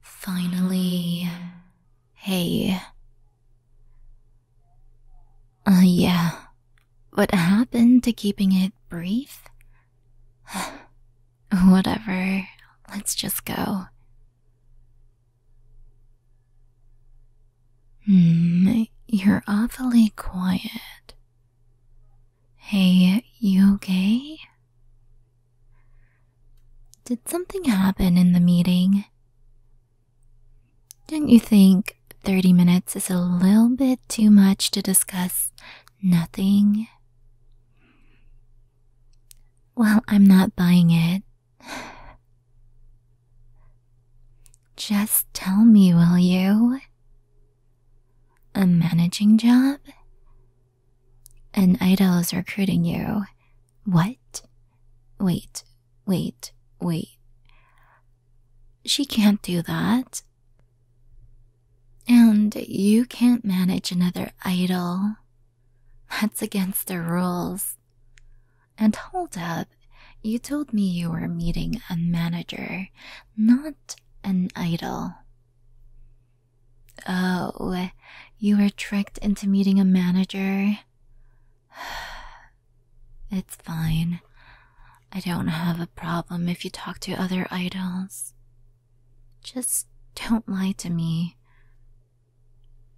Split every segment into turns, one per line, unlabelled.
Finally, hey. Uh, yeah. What happened to keeping it brief? Whatever, let's just go. Hmm, you're awfully quiet. Hey, you okay? Did something happen in the meeting? Don't you think 30 minutes is a little bit too much to discuss nothing? Well, I'm not buying it. Just tell me, will you? A managing job? An idol is recruiting you. What? Wait, wait, wait. She can't do that. And you can't manage another idol. That's against the rules. And hold up, you told me you were meeting a manager, not an idol. Oh, you were tricked into meeting a manager? It's fine. I don't have a problem if you talk to other idols. Just don't lie to me.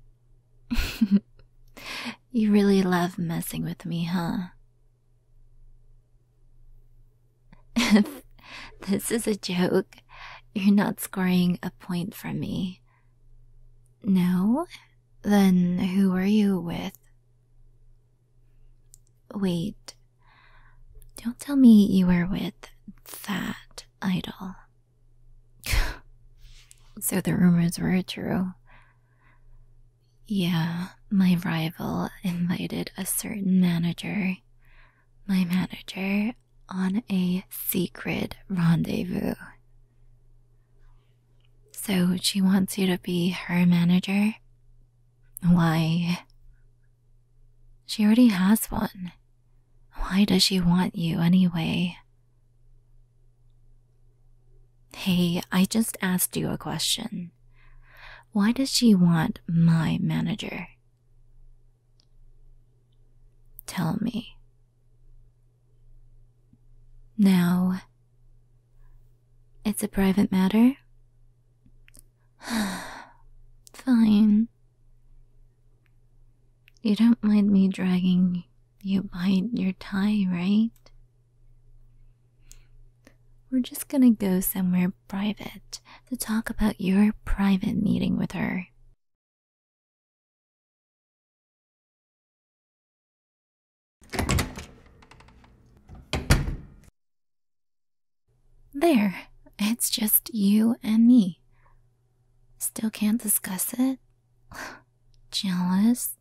you really love messing with me, huh? If this is a joke, you're not scoring a point for me. No? Then who were you with? Wait. Don't tell me you were with that idol. so the rumors were true. Yeah, my rival invited a certain manager my manager on a secret rendezvous. So she wants you to be her manager? Why? She already has one. Why does she want you anyway? Hey, I just asked you a question. Why does she want my manager? Tell me. Now, it's a private matter? Fine. You don't mind me dragging you by your tie, right? We're just gonna go somewhere private to talk about your private meeting with her. There, it's just you and me. Still can't discuss it? Jealous?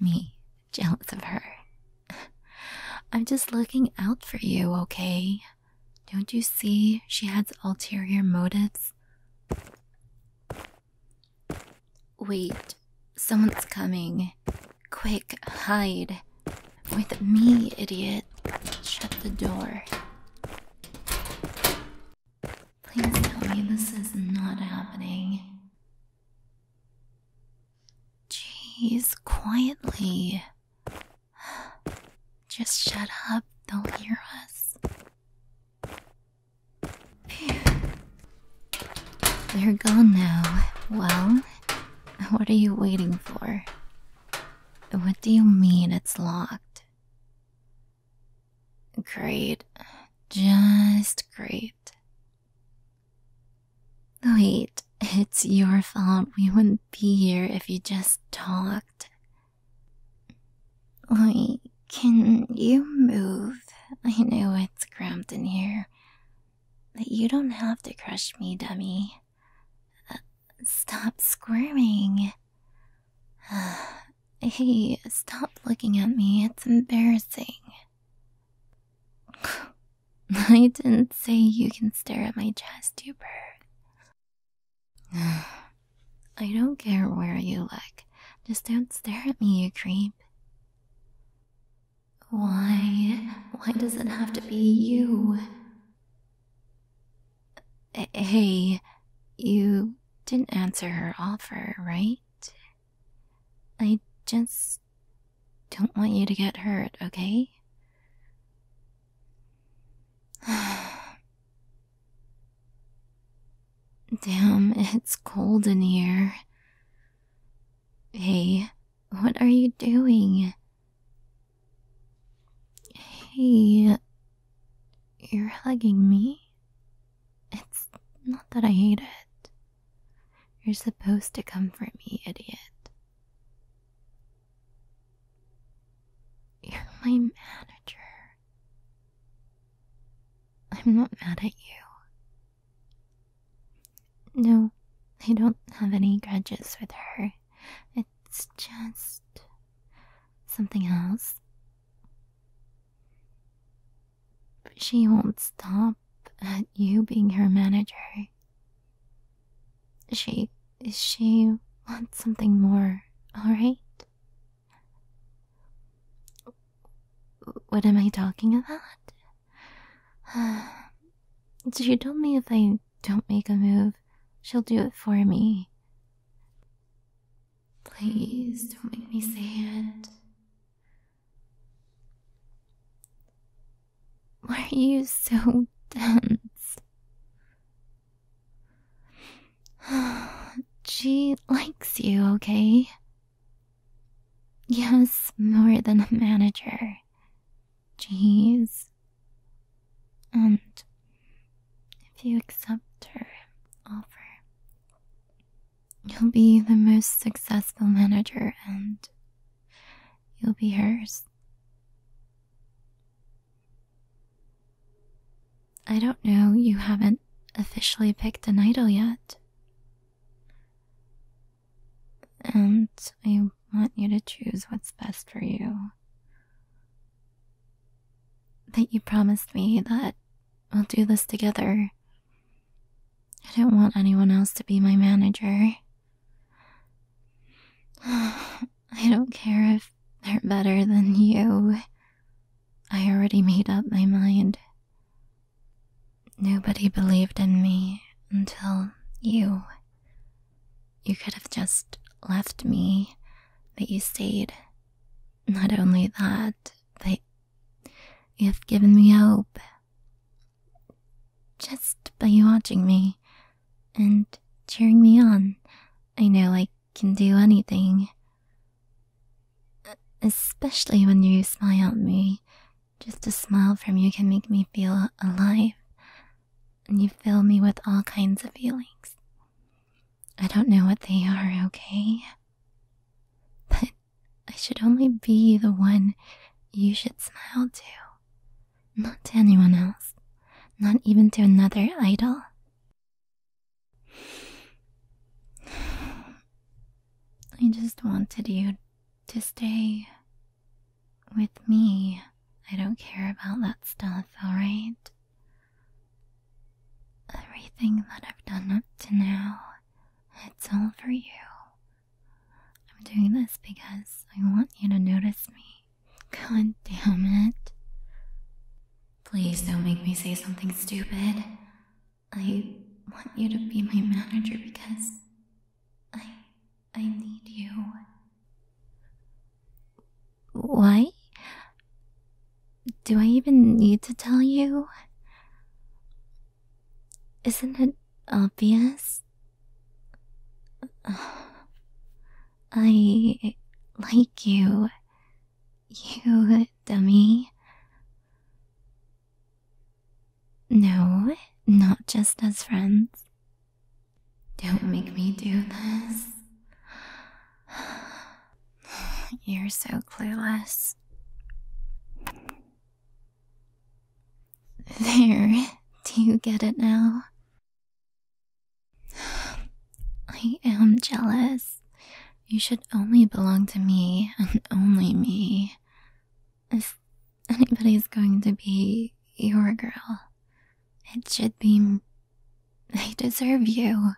Me, jealous of her. I'm just looking out for you, okay? Don't you see she has ulterior motives? Wait, someone's coming. Quick, hide. With me, idiot. Shut the door. Please tell me this is not happening. Jeez, quietly. Just shut up, they'll hear us. They're gone now. Well, what are you waiting for? What do you mean it's locked? Great. Just great. Wait, it's your fault we wouldn't be here if you just talked. Wait, can you move? I know it's cramped in here. But you don't have to crush me, dummy. stop squirming. hey, stop looking at me. It's embarrassing. I didn't say you can stare at my chest, you bird. I don't care where you look. Just don't stare at me, you creep. Why? Why does it have to be you? Hey, you didn't answer her offer, right? I just don't want you to get hurt, okay? Damn, it's cold in here. Hey, what are you doing? Hey, you're hugging me? It's not that I hate it. You're supposed to comfort me, idiot. You're my manager. I'm not mad at you. No, I don't have any grudges with her. It's just something else she won't stop at you being her manager. She she wants something more, alright? What am I talking about? she told me if I don't make a move, she'll do it for me. Please don't make me say it. Why are you so dense? she likes you, okay? Yes, more than a manager. Jeez. And if you accept her offer, You'll be the most successful manager and you'll be hers. I don't know, you haven't officially picked an idol yet. And I want you to choose what's best for you. That you promised me that We'll do this together. I don't want anyone else to be my manager. I don't care if they're better than you. I already made up my mind. Nobody believed in me until you. You could have just left me, but you stayed. Not only that, but You've given me hope. Just by you watching me and cheering me on, I know I can do anything. Especially when you smile at me. Just a smile from you can make me feel alive, and you fill me with all kinds of feelings. I don't know what they are, okay? But I should only be the one you should smile to. Not to anyone else. Not even to another idol. I just wanted you to stay with me. I don't care about that stuff, alright? Everything that I've done up to now, it's all for you. I'm doing this because I want you to notice me. God damn it. Please don't make me say something stupid. I want you to be my manager because I I need you. Why? Do I even need to tell you? Isn't it obvious? I like you. You dummy. No, not just as friends. Don't make me do this. You're so clueless. There, do you get it now? I am jealous. You should only belong to me and only me. If anybody's going to be your girl, it should be. They deserve you.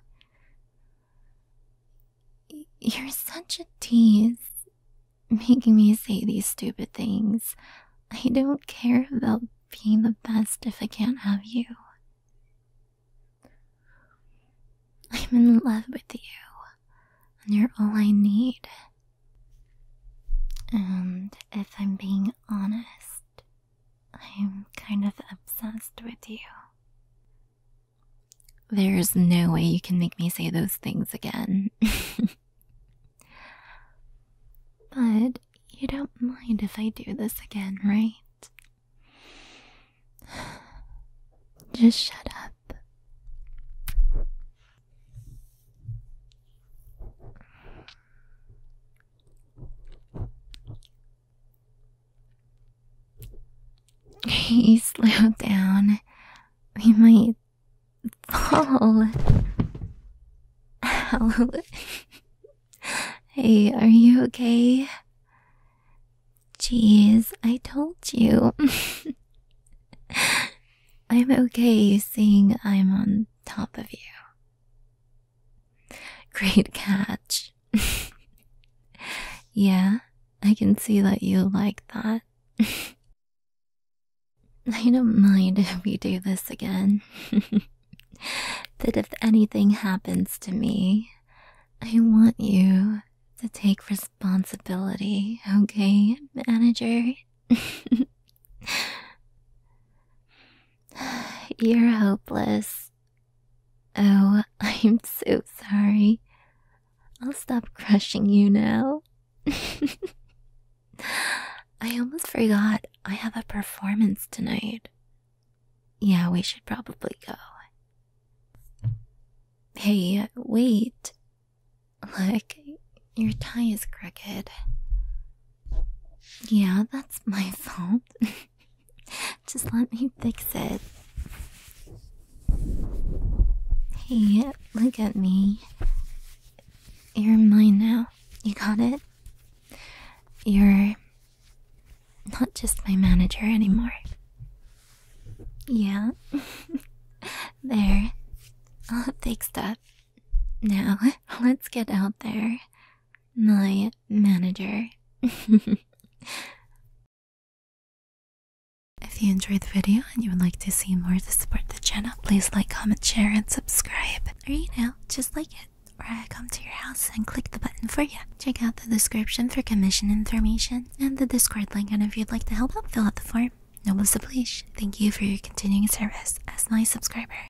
You're such a tease, making me say these stupid things. I don't care about being the best if I can't have you. I'm in love with you, and you're all I need. And if I'm being honest, I'm kind of obsessed with you. There's no way you can make me say those things again. but you don't mind if I do this again, right? Just shut up. Hey, slow down. We might fall. Ow. hey, are you okay? Jeez, I told you. I'm okay seeing I'm on top of you. Great catch. yeah, I can see that you like that. I don't mind if we do this again. but if anything happens to me, I want you to take responsibility, okay, manager? You're hopeless. Oh, I'm so sorry. I'll stop crushing you now. I almost forgot I have a performance tonight. Yeah, we should probably go. Hey, wait. Look, your tie is crooked. Yeah, that's my fault. Just let me fix it. Hey, look at me. You're mine now. You got it? You're not just my manager anymore. Yeah. there. All fixed up. Now, let's get out there my manager. if you enjoyed the video and you would like to see more to support the channel, please like, comment, share, and subscribe. Or you know, just like it. Or I come to your house and click the button for you. Check out the description for commission information and the Discord link. And if you'd like to help out, fill out the form. Noble oblige. Thank you for your continuing service as my subscriber.